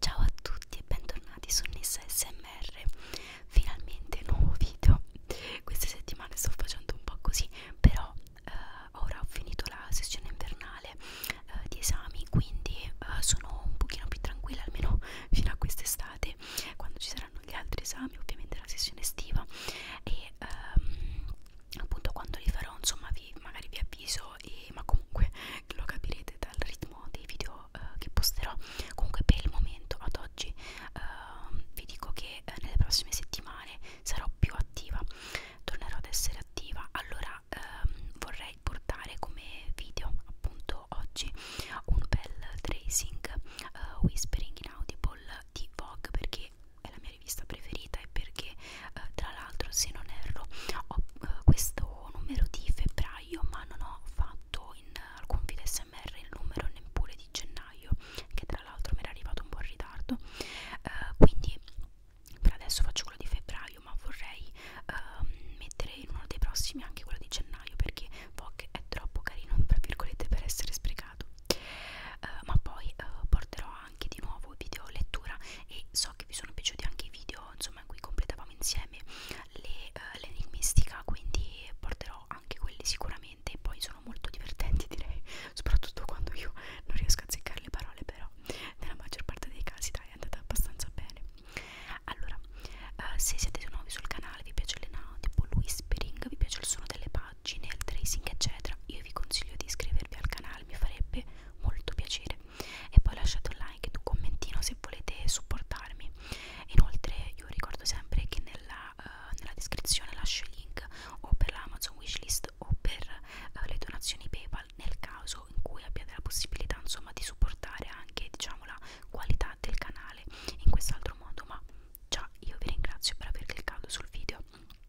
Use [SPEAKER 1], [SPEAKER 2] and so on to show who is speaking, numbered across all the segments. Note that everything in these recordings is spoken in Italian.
[SPEAKER 1] Ciao a tutti e bentornati su Nessa SMR. Finalmente nuovo video. Queste settimane sto facendo un po' così, però eh, ora ho finito la sessione invernale eh, di esami, quindi eh, sono un pochino più tranquilla almeno fino a quest'estate, quando ci saranno gli altri esami, ovviamente la sessione estiva e ehm, appunto quando li farò, insomma, vi magari vi avviso so, e, ma comunque lo capirete dal ritmo dei video eh, che posterò. Comunque per il momento, ad oggi, eh, vi dico che eh, nelle prossime settimane sarò più attiva, tornerò ad essere attiva. Allora ehm, vorrei portare come video appunto oggi un bel tracing eh, whispering in audible di Vogue perché è la mia mia rivista preferita e perché eh, tra l'altro se non erro ho eh, questo numero di febbraio ma non ho fatto in eh, alcun video smr il numero neppure di gennaio che tra l'altro mi era arrivato un po' in ritardo eh, quindi per adesso faccio quello di febbraio ma vorrei eh, mettere in uno dei prossimi anche quello di gennaio perché Vogue è troppo carino tra virgolette per essere sprecato eh, ma poi eh, porterò anche di nuovo video lettura e so che vi sono piaciuti anche i video insomma in cui completavamo insieme l'enigmistica eh, uh, quindi porterò anche quelli sicuramente poi sono molto divertenti direi soprattutto quando io non riesco a azzeccare le parole però nella maggior parte dei casi dai è andata abbastanza bene allora uh, se siete nuovi sul canale vi piace il no, tipo whispering vi piace il suono delle pagine il tracing eccetera io vi consiglio di iscrivervi al canale mi farebbe molto piacere e poi lasciate un like e un commentino se volete supportarmi inoltre io ricordo sempre che nella, uh, nella descrizione lascio il link o per l'Amazon wishlist o per uh, le donazioni Paypal nel caso in cui abbiate la possibilità insomma di supportare anche diciamo la qualità del canale in quest'altro modo ma già io vi ringrazio per aver cliccato sul video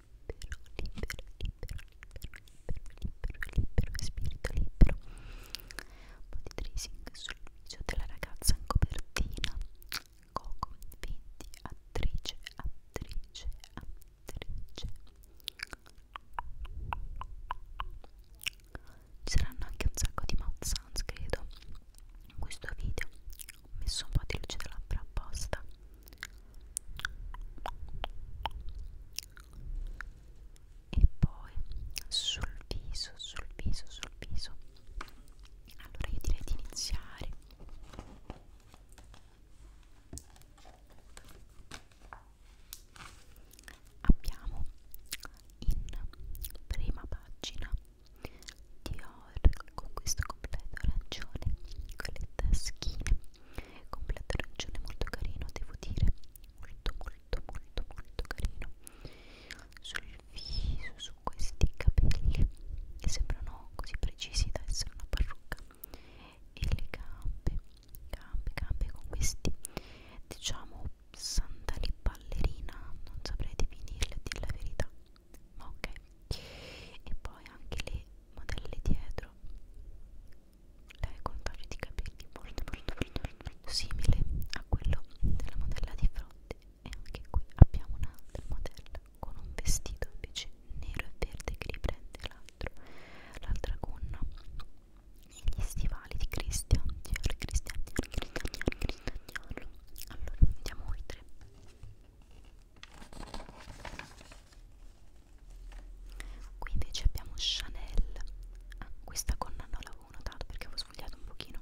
[SPEAKER 1] libero, spirito libero. Un po' di tracing sul viso della ragazza in copertina. Coco, 20, attrice, attrice, attrice. Ci saranno anche un sacco di mouth sounds, credo, in questo video. Ho messo un po' di luce da labbra apposta e poi sul viso, sul viso, sul viso. Allora io direi di iniziare. Abbiamo in prima pagina Dior con questo completo arancione con le taschine completo arancione molto carino devo dire molto molto molto molto carino sul viso su questi capelli che sembrano così precisi da essere una parrucca e le gambe gambe gambe con questi diciamo sandali ballerina non saprei definirle a dire la verità ma ok e poi anche le modelle dietro lei con un taglio di capelli molto molto molto, molto simile a quello della modella di fronte e anche qui abbiamo un'altra modella con un vestito invece nero e verde che riprende l'altro l'altra gonna e gli stivali di Christian Dior, Christian Dior, Christian Dior, Christian Dior allora andiamo oltre qui invece abbiamo Chanel ah, questa gonna non l'avevo notato perché avevo sfogliato un pochino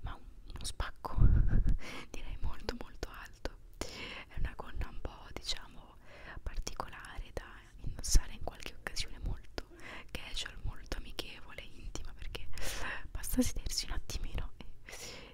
[SPEAKER 1] ma un, uno spacco direi molto molto alto è una gonna un po' diciamo particolare da indossare in qualche occasione molto casual molto amichevole intima perché basta sedersi un attimino e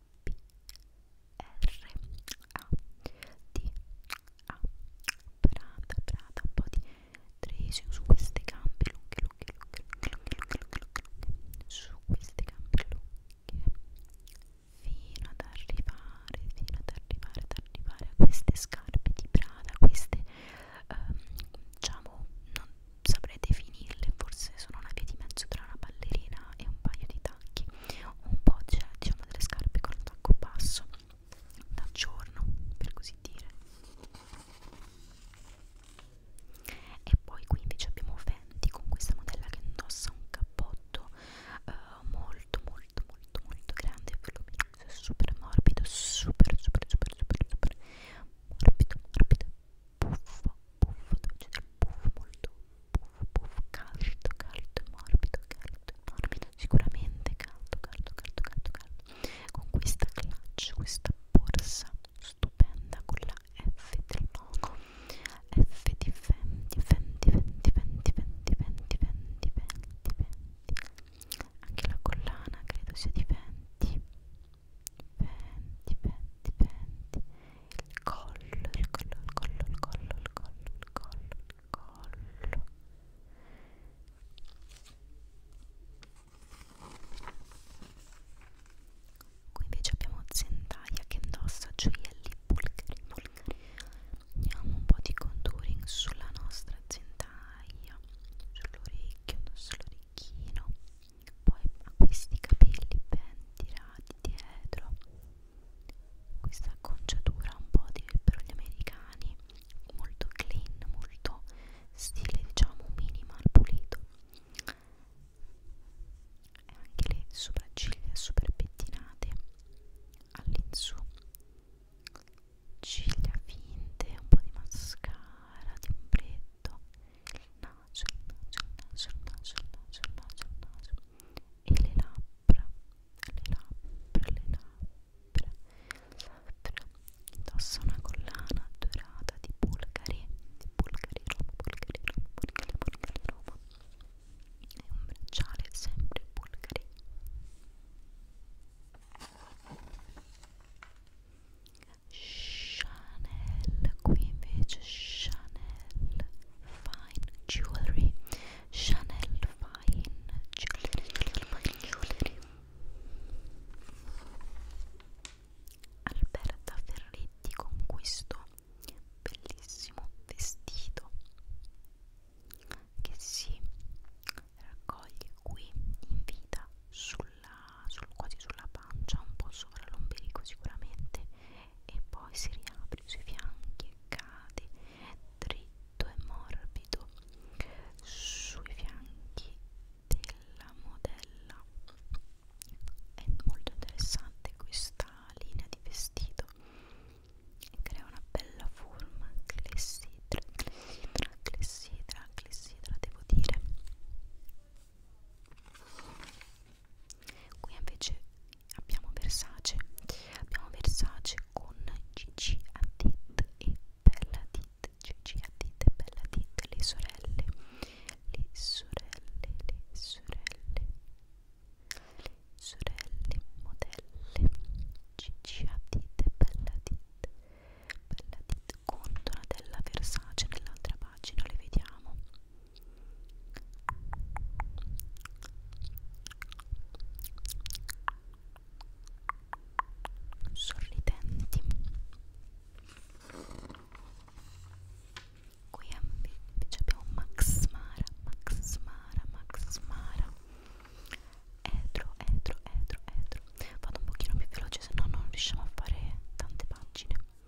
[SPEAKER 1] P R A D A Prada Prada un po' di tracing su queste gambe lunghe lunghe lunghe lunghe lunghe lunghe lunghe lunghe su queste gambe lunghe fino ad arrivare fino ad arrivare ad arrivare a queste scarpe di Prada queste ehm, diciamo non saprei definirle forse sono una via di mezzo tra una ballerina e un paio di tacchi un po' c'è diciamo delle scarpe con tacco basso da giorno per così dire e poi qui invece abbiamo Fenty con questa modella che indossa un cappotto eh, molto molto molto molto grande super morbido super super super super super morbido morbido puff, puff, dove c'è del puff molto puff, puff, caldo, caldo, morbido, caldo, morbido, sicuramente caldo, caldo, caldo, caldo, caldo, con questa clutch, questa borsa stupenda con la F del logo, F di Fendi, Fendi, Fendi, Fendi, Fendi, Fendi, Fendi, Fendi, anche la collana credo sia di Fendi, Fendi, Fendi, Fendi, il collo, il collo, il collo, il collo, il collo, il collo, il collo. Qui invece abbiamo Zendaya che indossa gioielli bulgari, bulgari. Andiamo un po' di contouring sulla nostra Zendaya, sull'orecchio, sull'orecchino poi ha questi capelli ben tirati dietro questa acconciatura un po' di per gli americani molto clean molto stile diciamo minimal pulito e anche le sopracciglia super pettinate all'insù ciglia finte un po' di mascara di ombretto petto, il naso, il naso, il naso, il naso, il naso, il naso, il naso. e le labbra, le labbra, le labbra, le labbra. Indossa una collana dorata di Bulgari, di Bulgari Roma, Bulgari Roma, Bulgari, Bulgari Roma e un bracciale sempre Bulgari. Chanel qui invece Chanel Fine Jewelry Chanel Fine Jewelry Jewelry Alberta Ferretti con questo bellissimo vestito che si raccoglie qui in vita sul sulla, sul, quasi sulla pancia, un po' sopra l'ombelico sicuramente e poi si riapre sui fianchi e cade dritto e morbido sui fianchi della modella è molto interessante questa linea di vestito e crea una bella forma clessidra, clessidra, clessidra, clessidra devo dire qui invece abbiamo Versace abbiamo Versace con Gigi Hadid e Bella Hadid Gigi Hadid e Bella Hadid le sorelle le sorelle le sorelle le sorelle modelle Gigi Hadid e Bella Hadid Bella Hadid contola della Versace nell'altra pagina le vediamo sorridenti qui invece abbiamo Max Mara Max Mara Max Mara etro etro etro etro vado un pochino più veloce se no non riusciamo a fare tante pagine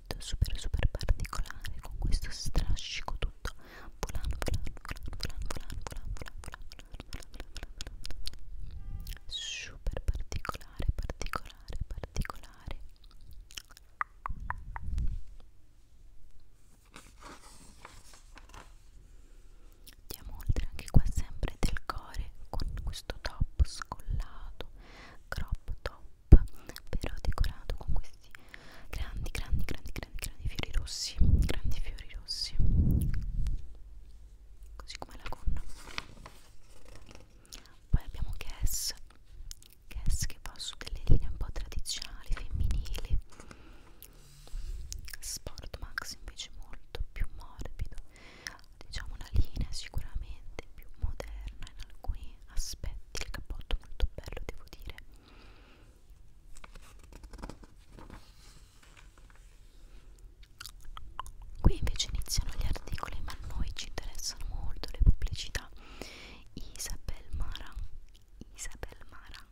[SPEAKER 1] effetto super super particolare con questo strascico tutto volando volando volando volando volando volando volando volando volando volando super particolare particolare particolare Andiamo oltre anche qua sempre del core con questo top scollato, crop top però decorato con questi grandi, grandi, grandi, grandi, grandi fiori rossi, grandi fiori rossi, così come la gonna. Poi abbiamo Guess, Guess che va su delle linee un po' tradizionali, femminili. Sport Max invece molto più morbido diciamo una linea sicuramente più moderna in alcuni aspetti il cappotto è molto bello devo dire qui invece iniziano gli articoli ma a noi ci interessano molto le pubblicità Isabel Maran Isabel Maran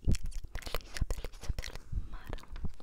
[SPEAKER 1] Isabel Isabel Isabel Maran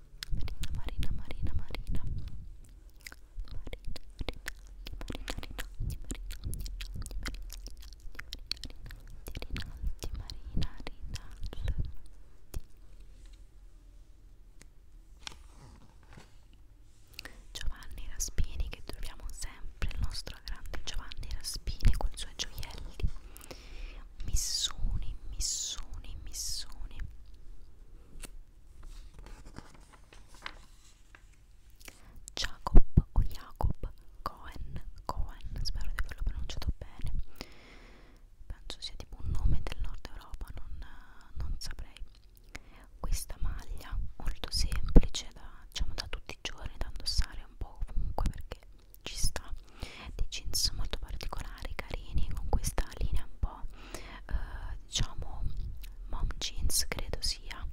[SPEAKER 1] Marina, Marina, Marina, Marina. Giovanni Raspini che troviamo sempre il nostro grande Giovanni Raspini con i suoi gioielli proprio missoni, missoni, missoni. Jacob o Jacob Cohen, Cohen, spero di averlo pronunciato bene. Penso sia tipo un nome del nord Europa, non, non saprei. Questa maglia molto semplice da, diciamo, da tutti i giorni da indossare un po' ovunque perché ci sta dei jeans molto particolari carini con questa linea un po' eh, diciamo mom jeans credo sia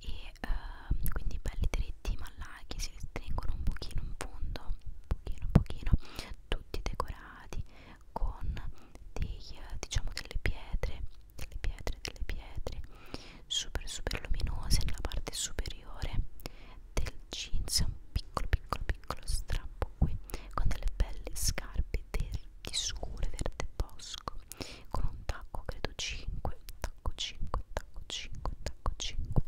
[SPEAKER 1] e eh, quindi belli dritti ma larghi si stringono un pochino in fondo un pochino un pochino tutti decorati con dei, eh, diciamo delle pietre delle pietre delle pietre super super luminose nella parte superiore superiore del jeans un piccolo piccolo piccolo strappo qui con delle belle scarpe verdi scure verde bosco con un tacco credo 5 tacco 5 tacco 5 tacco 5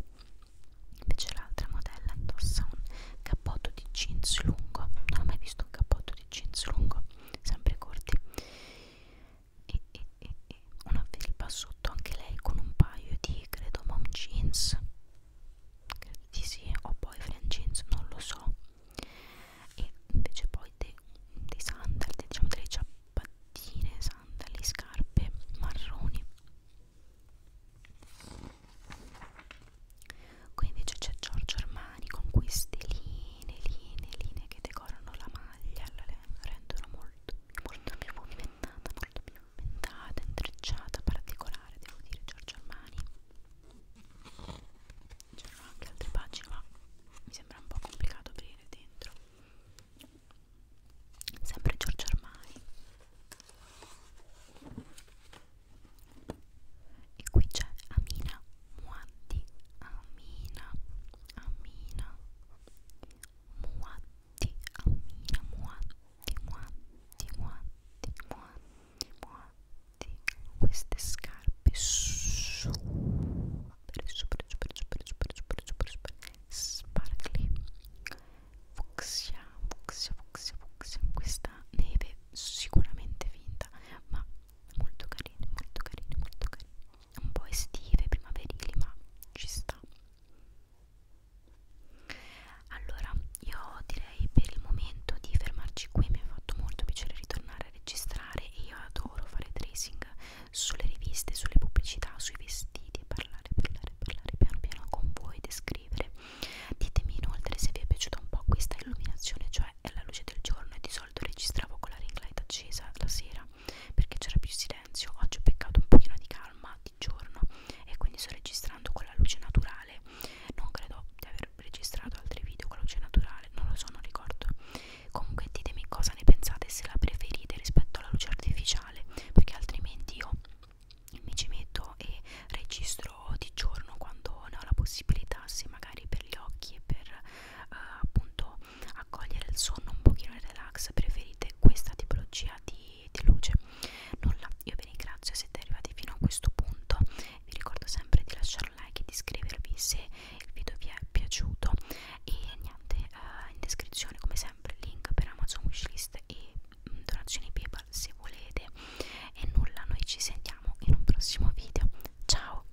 [SPEAKER 1] invece l'altra modella indossa un cappotto di jeans lungo non ho mai visto un cappotto di jeans lungo sempre corti e, e, e, e una felpa sotto anche lei con un paio di di credo mom jeans credo di sì o boyfriend jeans non lo so e invece poi dei, dei sandali diciamo delle ciabattine sandali scarpe marroni qui invece c'è Giorgio Armani con queste linee linee linee che decorano la maglia la rendono molto molto, molto più movimentata, molto più movimentata, intrecciata, particolare, devo dire, Giorgio Armani. C'erano anche altre pagine, ma mi sembra un po' complicato aprire dentro. Sempre Giorgio Armani. E qui c'è Amina Muaddi, Amina, Amina Muaddi ti ammira muanti muanti muanti muanti muanti queste scarpe super super super super super super super super sparkly fucsia fucsia fucsia fucsia questa neve sicuramente finta ma molto carine molto carine molto carine un po' estive primaverili ma ci sta allora, io direi per il momento di fermarci qui, mi ha fatto molto piacere ritornare a registrare e io adoro fare tracing sulle riviste, sulle pubblicità, sui vestiti e parlare, parlare, parlare piano piano con voi, descrivere. Ditemi inoltre se vi è piaciuta un po' questa illuminazione, cioè è la luce del giorno e di solito registravo con la ring light accesa la sera perché c'era più silenzio oggi ho beccato un pochino di calma di giorno e quindi sto registrando con la luce naturale non credo di aver registrato altri video con la luce naturale non lo so non ricordo comunque ditemi cosa ne pensate se la preferite rispetto alla luce artificiale perché altrimenti io mi ci metto e registro di giorno quando ne ho la possibilità se magari per gli occhi e per eh, appunto accogliere il sonno un pochino in relax preferite questa tipologia di, di luce nulla io vi ringrazio se siete arrivati fino a questo punto vi ricordo sempre di lasciare un like e di iscrivervi se il video vi è piaciuto e niente uh, in descrizione come sempre il link per Amazon wishlist e mm, donazioni paypal se volete e nulla noi ci sentiamo in un prossimo video ciao